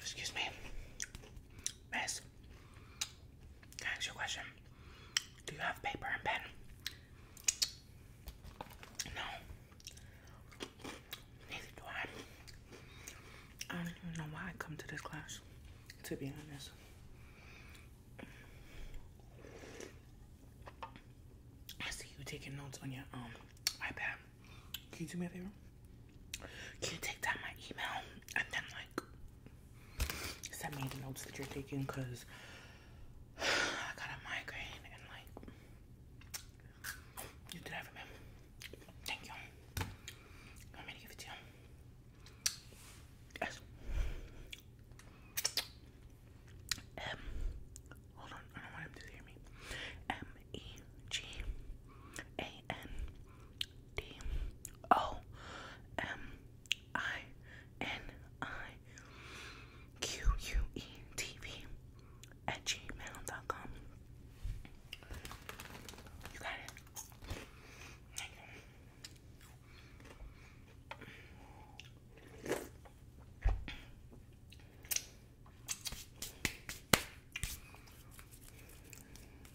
Excuse me. Mess. Can I ask you a question? Do you have paper and pen? No. Neither do I. I don't even know why I come to this class, to be honest. I see you taking notes on your um iPad. Can you do me a favor? Can you take down my email and then like send me the notes that you're taking because I got a migraine and like you did that for Thank you. You want me to give it to you? Yes. M hold on, I don't want him to hear me. M E G A N D O M I N I Q U E T V at gmail.com. You got it.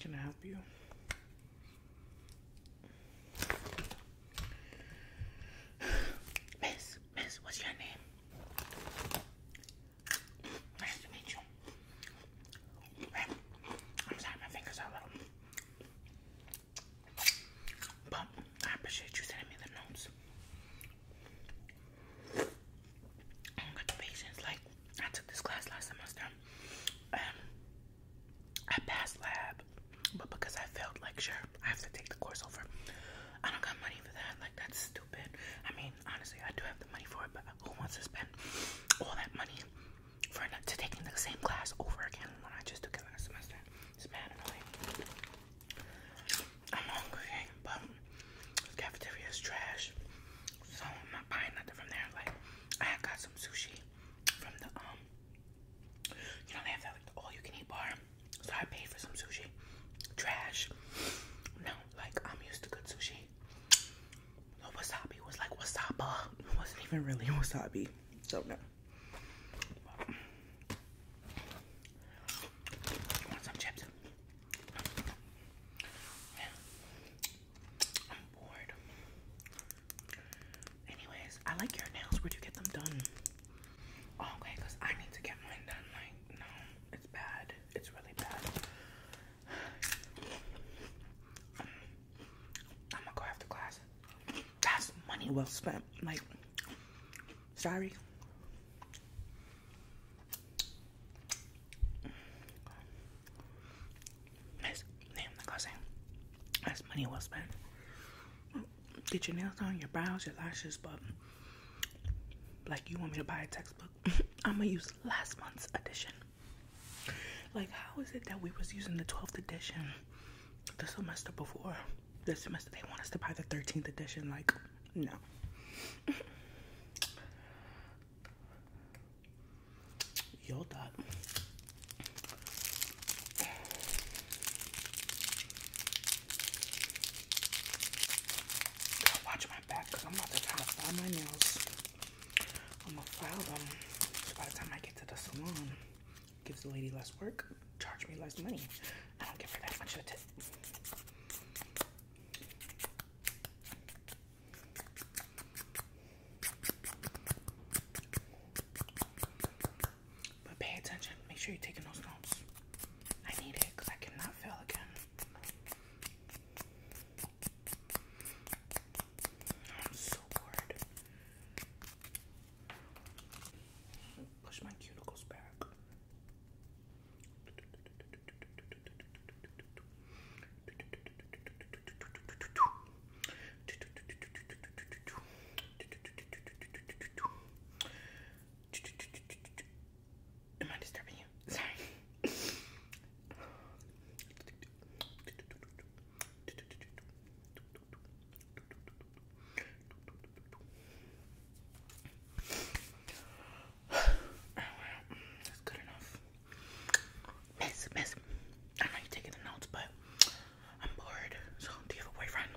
Can I help you? Miss, Miss, what's your name? Nice to meet you. I'm sorry, my fingers are little. But I appreciate you sending me the notes. I don't got the patience. Like, I took this class last semester. Um, I passed lab, but because I failed lecture, I have to take the course over. I don't got money for that. Like, that's stupid. I mean, honestly, I do have the money for it, but who wants to spend all that money for not to taking the same class over again when I just took it last semester. It's mad I'm hungry, but cafeteria is trash, so I'm not buying nothing from there. Like, I got some sushi from the um, you don't have that like all-you-can-eat bar, so I paid for some sushi. Trash. No, like I'm used to good sushi wasabi was like wasabi. It wasn't even really wasabi. So no. Want some chips? I'm bored. Anyways, I like your nails. Where'd you get them done? Oh, I need to get mine done. Like, no, it's bad. It's really bad. I'm gonna go after class. That's money well spent. Like, sorry. That's, damn, like I that's money well spent. Get your nails done, your brows, your lashes, but like you want me to buy a textbook, I'm gonna use last month's edition. Like, how is it that we was using the 12th edition the semester before? The semester they want us to buy the 13th edition. Like, no. Yo, thought. Watch my back I'm about to try to my nails. I'm gonna file them. So by the time I get to the salon, gives the lady less work, charge me less money. I don't give her that much of a tip. But pay attention. Make sure you're taking those notes. I need it I cannot fail again. I'm so bored. Push my cuticles back. Am I disturbing you? Sorry. Oh, that's good enough. Miss, miss, I know you're taking the notes, but I'm bored. So, do you have a boyfriend?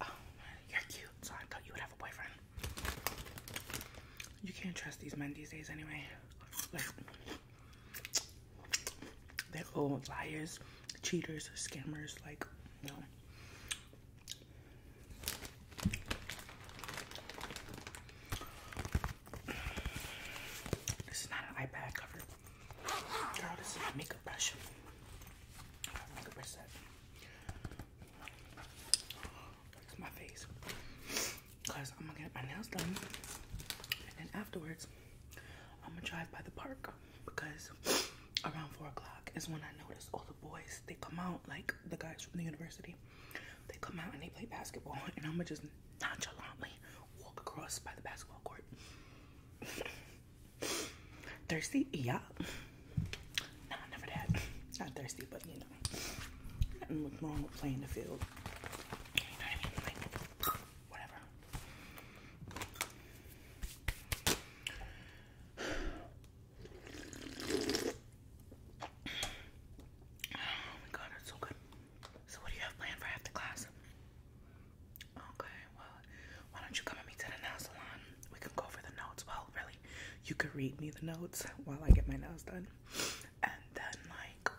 Oh, you're cute, so I thought you would have a boyfriend. You can't trust these men these days anyway. they're all liars, cheaters, scammers, like, no. This is not an iPad cover. Girl, this is a makeup brush to my face because I'm gonna get my nails done and then afterwards I'm gonna drive by the park because around four o'clock is when I notice all the boys they come out like the guys from the university they come out and they play basketball and I'm gonna just nonchalantly walk across by the basketball court thirsty yeah Nah, never that. Not thirsty, but you know, nothing wrong with playing the field. You know what I mean? whatever. Oh my god, it's so good. So, what do you have planned for after class? Okay, well, why don't you come with me to the nail salon? We can go over the notes. Well, really, you could read me the notes while I get my nails done. And then like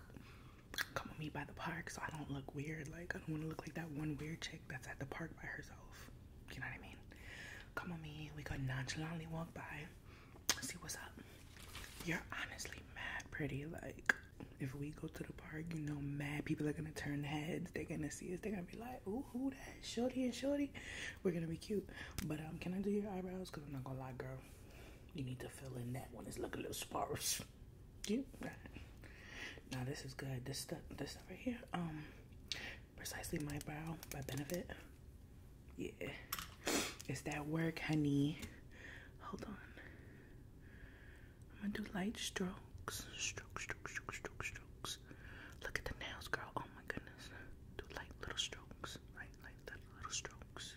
come with me by the park so I don't look weird. Like I don't wanna look like that one weird chick that's at the park by herself. You know what I mean? Come with me, we could nonchalantly walk by, see what's up. You're honestly mad pretty, like if we go to the park, you know, mad people are gonna turn heads. They're gonna see us. They're gonna be like, "Ooh, who that Shorty and Shorty, we're gonna be cute. But um, can I do your eyebrows? Cause I'm not gonna lie, girl, you need to fill in that one. It's looking a little sparse. You. Yeah. Now this is good. This stuff, this stuff right here. Um, precisely my brow by Benefit. Yeah, it's that work, honey. Hold on. I'm gonna do light strokes, Strokes. Strokes. Strokes. Strokes. strokes. Look at the nails, girl. Oh my goodness. Do light little strokes, right? Light little, little strokes.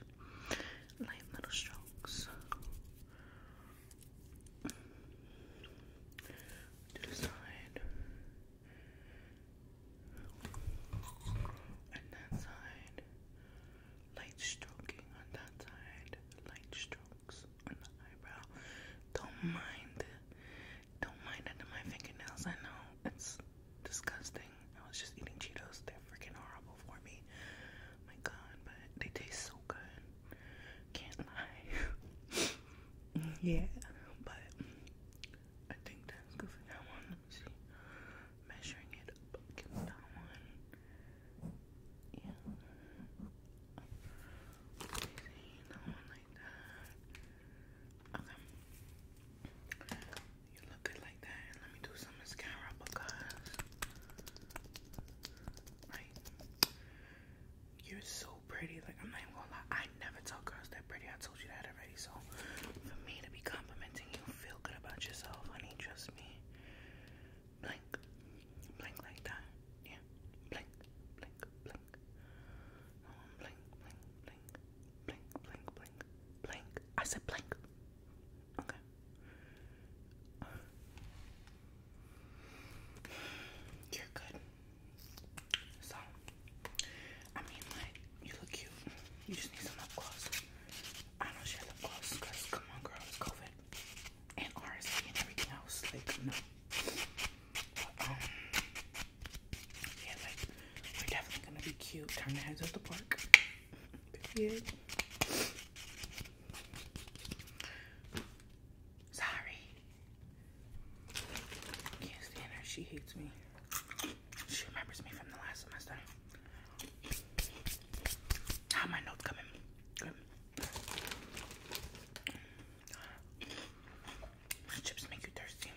Light little strokes. To the side. And that side. Light stroking on that side. Light strokes on the eyebrow. Don't mind don't mind under my fingernails. I know it's disgusting. I was just eating Cheetos. They're freaking horrible for me. My God, but they taste so good. Can't lie. yeah, but I think that's good for that Let me see. Measuring it Yeah. You look good like that. let me do some mascara because, like, you're so pretty. Like, I'm not even gonna lie. I never tell girls they're pretty. I told you that already. So, for me to be complimenting you, feel good about yourself, honey. Trust me. Blink. Blink like that. Yeah. Blink. Blink. Blink blink. Blink, blink, blink, blink, blink, blink, I said blink. Okay. You're good. So, I mean, like, you look cute. You just need some lip gloss. I don't share lip gloss because, come on, girl, COVID and RSV and everything else. Like, no. Yeah, like, we're definitely gonna be cute. Turn the heads at the park. Period. Sorry. Can't stand her. She hates me. She remembers me from the last semester. How my notes coming? Chips make you thirsty.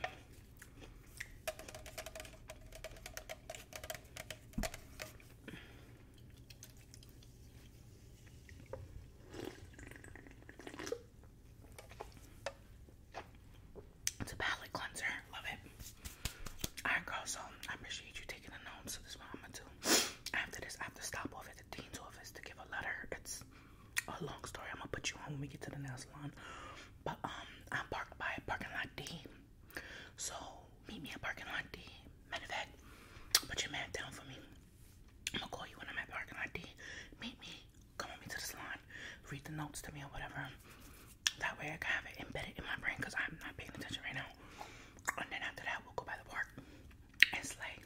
It's a palate cleanser. Love it. Alright, girl. So I appreciate you taking the notes. So this is what I'm gonna do. After this, I have to stop off at the dean's office to give a letter. It's a long story. I'm gonna put you on when we get to the nail salon. But um, I'm parked by parking lot D. So meet me at parking lot D. Matter of fact, put your mat down for me. I'm gonna call you when I'm at parking lot D. Meet me. Come with me to the salon. Read the notes to me or whatever. That way I can have it embedded in my brain because I'm not paying attention right now. And then after that, we'll go by the park and slay.